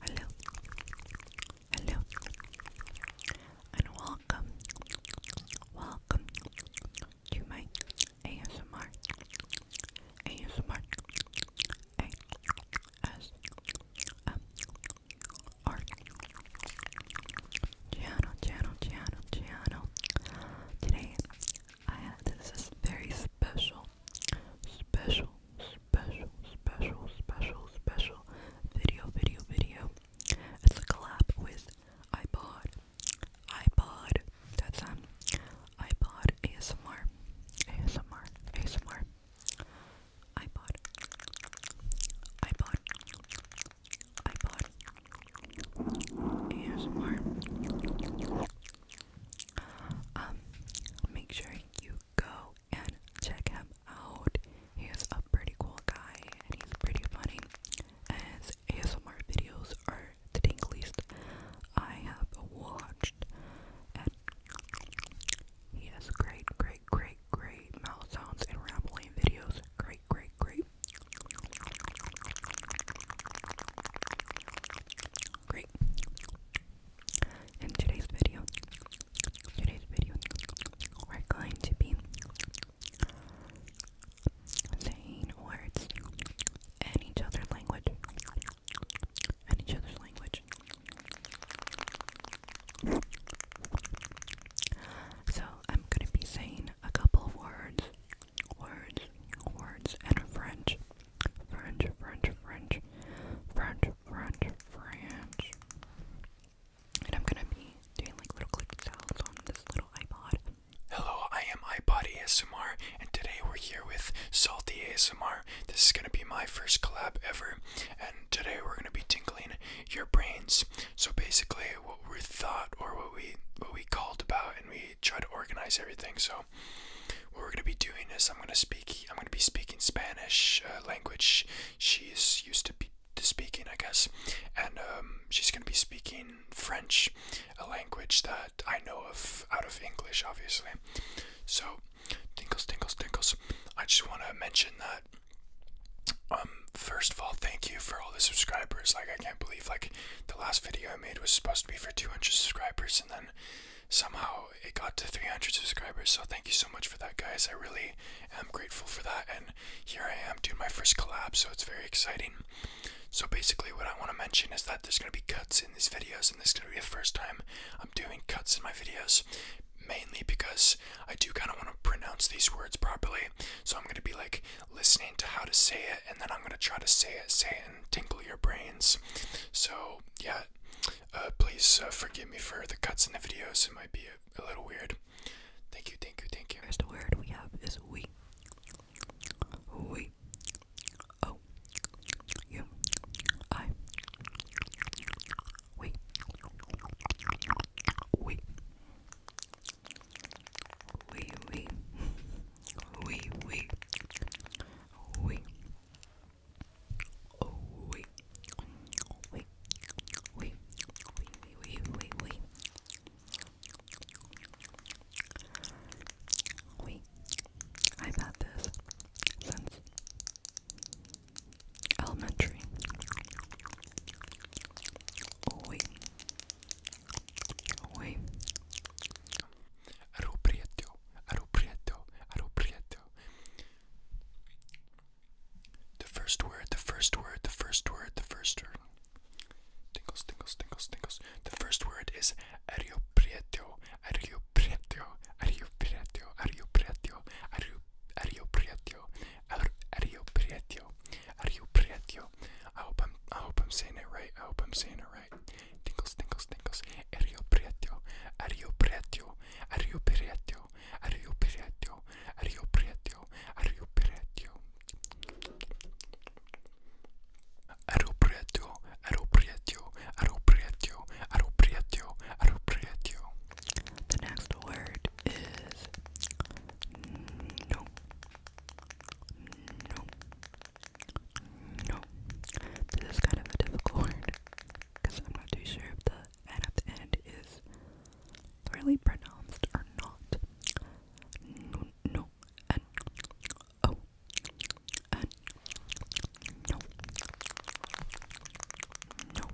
Hello, hello, and welcome, welcome to my ASMR, ASMR, ASMR channel, channel, channel, channel. Today, I have, this is very special special, special, special, special, special video, video, video. It's a collab with iPod, iPod, that's um, iPod ASMR, ASMR, ASMR, iPod, iPod, iPod, ASMR. Um, make sure you go and check him out. He is a pretty cool guy and he's pretty funny. And his ASMR videos are the least I have watched. And he has great, great, great, great mouth sounds and rambling videos. Great, great, great. Great. In today's video, today's video, we're going to be saying words in each other's language. In each other's language. So I'm gonna be saying a couple of words, words, words in French. French, French, French, French, French, French. And I'm gonna be doing like little clicky sounds on this little iPod. Hello, I am iPod ASMR, and today we're here with Salty ASMR. This is gonna be my first collab ever, and today we're gonna be tinkling your brains. So basically, what we thought or what we what we called about, and we tried to organize everything. So what we're going to be doing is I'm going to speak. I'm going to be speaking Spanish uh, language. She's used to, be, to speaking, I guess, and um, she's going to be speaking French, a language that I know of out of English, obviously. So, tinkles, tinkles, tinkles. I just want to mention that. Um, first of all, thank you for all the subscribers. Like, I can't believe like the last video I made was supposed to be for 200 subscribers, and then somehow it got to 300 subscribers. So thank you so much for that, guys. I really am grateful for that. And here I am doing my first collab, so it's very exciting. So basically, what I want to mention is that there's going to be cuts in these videos, and this is going to be the first time I'm doing cuts in my videos mainly because I do kind of want to pronounce these words properly. So I'm going to be like listening to how to say it and then I'm going to try to say it, say it, and tinkle your brains. So, yeah, uh, please uh, forgive me for the cuts in the videos. It might be a, a little weird. Thank you, thank you, thank you. First word we have is we. We. Oh. You. I. We. We. We. We. We. We oui, oh, oui, oui, oui, oui, oui, oui, oui. Oui, I've had this since elementary. Wait, Oi. Ero preto, ero preto, ero preto. The first word, the first word, the first word, the first word. Tingles, tingles, tingles, tingles. The first word is ero preto, ero preto, ero preto, ero preto, ero preto, ero preto, ero preto. I hope I'm, I hope I'm saying it right. I hope I'm saying it right right? Tingles, tingles, tingles. Ario Prieto, Ario Prieto, Ario Prieto, Ario Prieto, Ario Prieto, Ario Prieto. Ario Prieto, Ario Prieto, Ario Prieto, Ario Prieto, Ario Prieto. The next word is no. No. No. This is kind of a difficult word because I'm not too sure if the N at the end is really pronounced or not. No, no, oh, and no, no, no,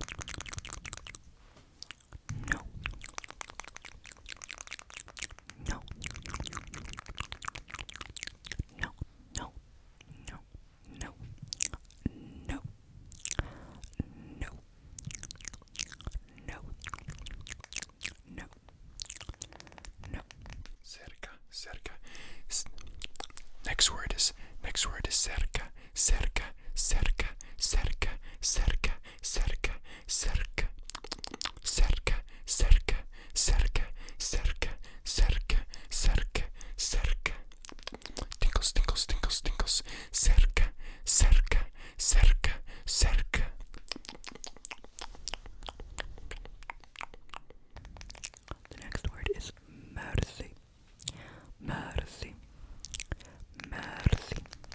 no. No, no, no, no, no, no, no, no, no. Cerca, cerca. S next word is next word is cerca, cerca, cerca, cerca, cerca, cerca, cerca, cerca, cerca, cerca, cerca, cerca, cerca, cerca. Tinkles, tinkles, tinkles, tinkles, cerca, cerca, cerca, cerca. The next word is mercy. Mercy. Mercy.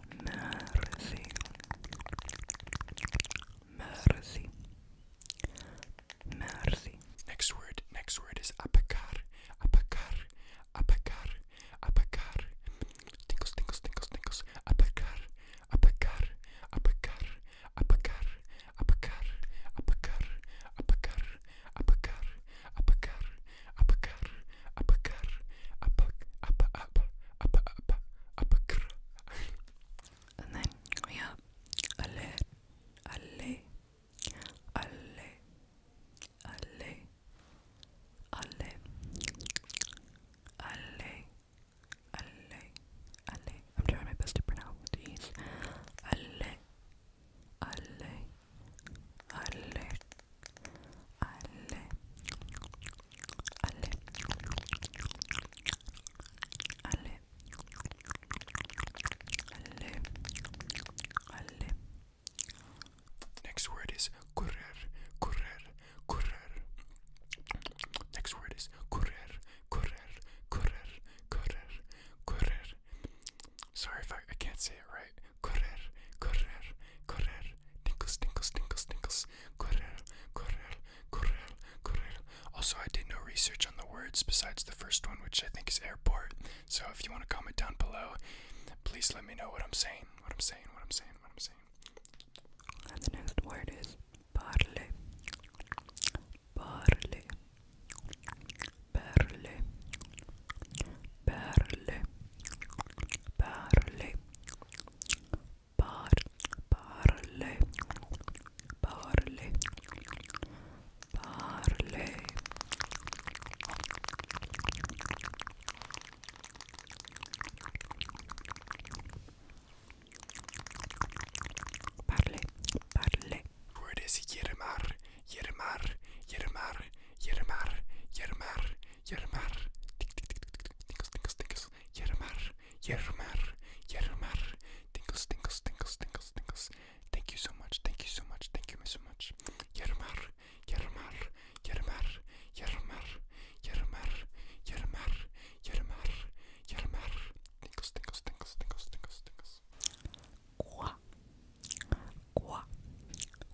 Merci. Merci. Merci. Next word, next word is apacar. Apacar. Apacar. Apacar. Tinkles, tinkles, tinkles, tinkles. Apacar. Apacar. Apacar. Apacar. Apacar. Apacar. Apacar. Apacar. Apacar. Apacar. Apacar. Apacar. Apacar and then we have alle, alle, alle, alle, alle, alle, alle, alle. I'm trying my best to pronounce these. Alle, alle, alle alle alle alle alle alle Next word is correr correr correr Next word is correr correr correr correr correr Sorry if I, I can't say it right correr correr correr Tinkles, tinkles, tinkles, tinkles. Also, I did no research on the words besides the first one, which I think is airport. So if you want to comment down below, please let me know what I'm saying, what I'm saying, what I'm saying, what I'm saying. That's next word is parle, parle, parle, perle perle par parle parle parle Parle, parle. Puedes yermar, yermar, yermar, yermar, yermar, yermar, tinkles, tinkles, tinkles, yermar, yermar, yermar, tinkles, tinkles, tinkles, tinkles, tinkles. Thank you so much, thank you so much, thank you so much. Yermar, yermar, yermar, yermar, yermar, yermar, yermar, yermar, tinkles, tinkles, tinkles, tinkles, tinkles, tinkles. Qua, qua,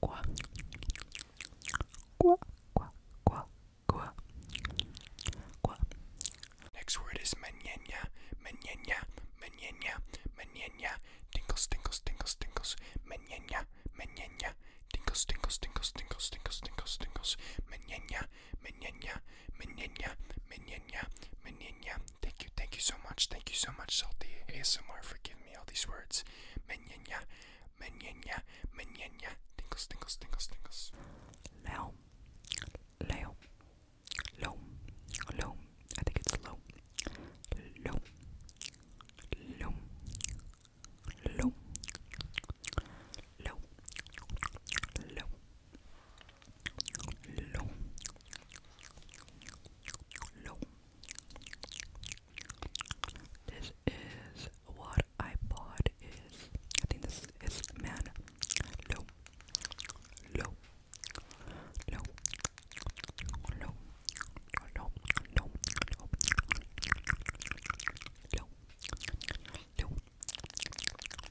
Qua. Qua. Qua. Qua. Qua. Qua. Qua. Next word is mañana, mañana, mañana, mañana. Tinkles, tinkles, tinkles, tinkles. Mañana, mañana. Tinkles, tinkles, tinkles, tinkles, tinkles, tinkles, tinkles. Mañana, mañana, mañana, mañana, mañana thank you, thank you so much, thank you so much, Salty ASMR, for giving me all these words. Menya, Menya, Menya, tingles, tingles, tingles, tingles. Leo, Leo, Low, Low, I think it's low, Low, Low, Low, Low, Low low, low. This is what I bought. Is I think this is man low, low, low, low, low, low, low, low, low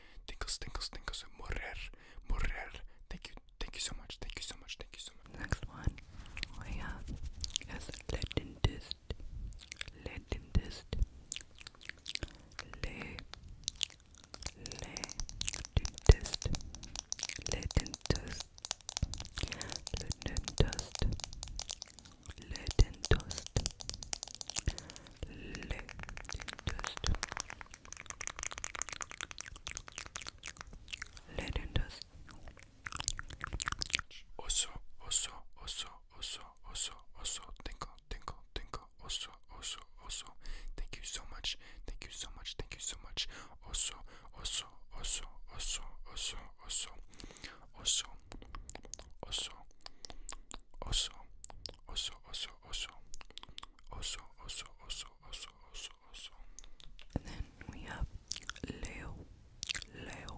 Thank you, thank you so much, thank you so much, thank you so much. Next one we have Legendist. Legendist. Le Legendist. Legendist. Legendist. Le Dentost. Le Dentost. Le Dentost. Oso, oso, oso, oso, oso, oso. Tinkle, tinkle, tinkle. Oso, oso, oso. Thank you so much. Thank you so much. Thank you so much. Oso, oso, oso, oso, oso, oso. Oso, oso, oso, oso, oso, oso, oso, oso, oso, oso, oso, oso. And then we have Leo, Leo,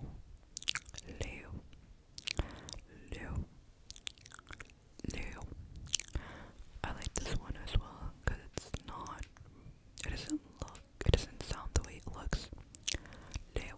Leo, Leo, Leo. I like this one as well because it's not. It doesn't look. It doesn't sound the way it looks. Leo,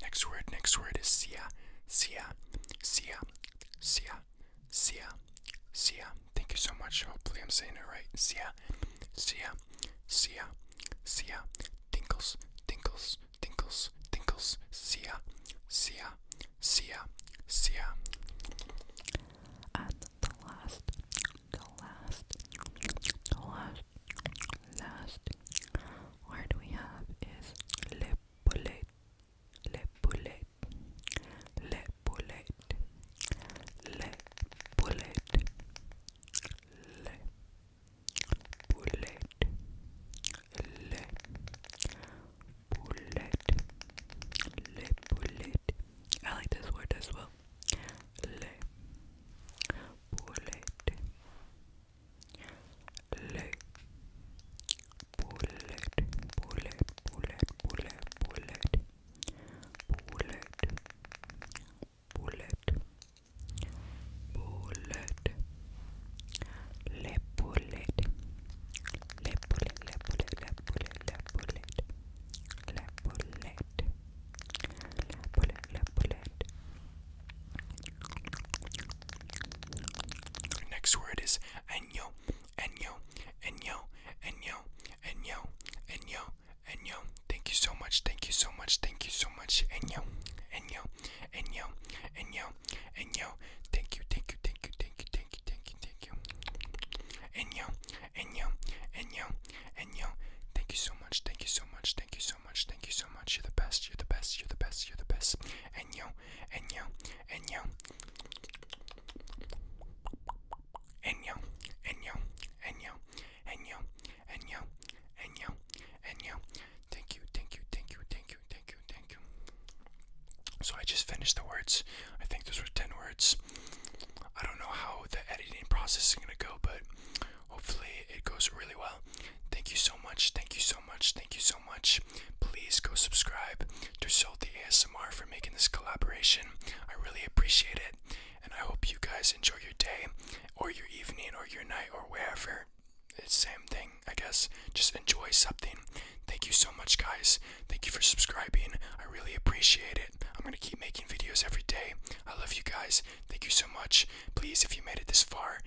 Next word, next word is sia, sia, sia, sia, sia, sia. Thank you so much. Hopefully, I'm saying it right. Sia, sia, sia, sia. Tinkles, tinkles, tinkles, tinkles. Sia, sia, sia, sia. At the last, the last, the last Last word we have is le poulet, le poulet, le poulet, le poulet, le poulet, le poulet, le poulet. I like this word as well. Le bullet leg bullet bullet bullet bullet bullet bullet bullet bullet le bullet le bullet le bullet le bullet le bullet le bullet Bullet, bullet. Next word is año, año, año, año, año, año, año. Thank you so much, thank you so much, thank you so much, año, año, año, año, año. Thank you, thank you, thank you, thank you, thank you, thank you, thank you. Año, año, año, año. Thank you so much, thank you so much, thank you so so much. Thank you so much. You're the best. You're the best. You're the best. You're the best. And yo, and yo, and yo, and yo, and yo, and yo, and yo, and yo, and yo, and yo. Thank you, thank you, thank you, thank you, thank you, thank you. So I just finished the words. I think those were ten words. I don't know how the editing process is gonna go, but Hopefully, it goes really well. Thank you so much. Thank you so much. Thank you so much. Please go subscribe to Salty ASMR for making this collaboration. I really appreciate it. And I hope you guys enjoy your day, or your evening, or your night, or wherever. It's same thing, I guess. Just enjoy something. Thank you so much, guys. Thank you for subscribing. I really appreciate it it. I'm going to keep making videos every day. I love you guys. Thank you so much. Please, if you made it this far,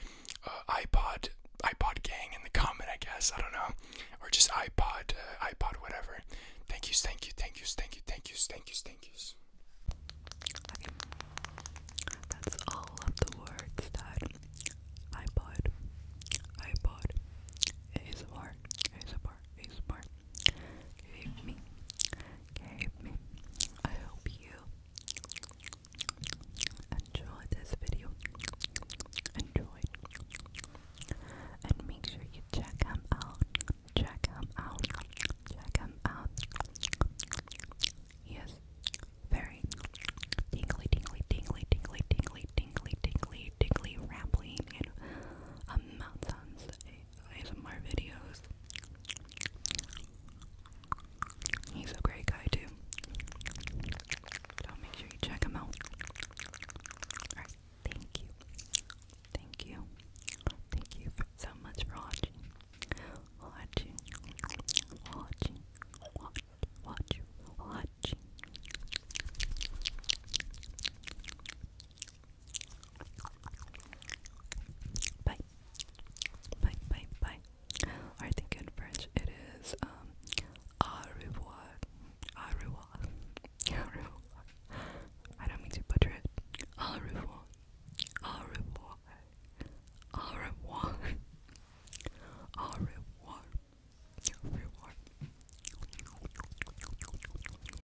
uh, iPod, iPod gang in the comment, I guess. I don't know. Or just iPod, uh, iPod, whatever. Thank yous, thank you, thank yous, thank you, thank yous, thank yous, thank yous. Okay. That's all of the words that iPod, iPod, ASMR, ASMR, ASMR. Keep me. Keep me. I hope you enjoyed this video. Enjoyed. And make sure you check him out. Check him out. Check him out. He very tingly, tingly, tingly, tingly, tingly, tingly, tingly, tingly, rambling in uh, mountains ASMR videos. He's a great guy too. make sure you check him out. Alright, thank you. Thank you. Thank you so much for watching. Watching. Watching. Watch. Watching. Bye. Bye, bye, bye. I think in French it is um au revoir. Au revoir. Au revoir. I don't mean to butcher it. Au revoir. Au revoir. Au revoir. Au revoir. Au revoir.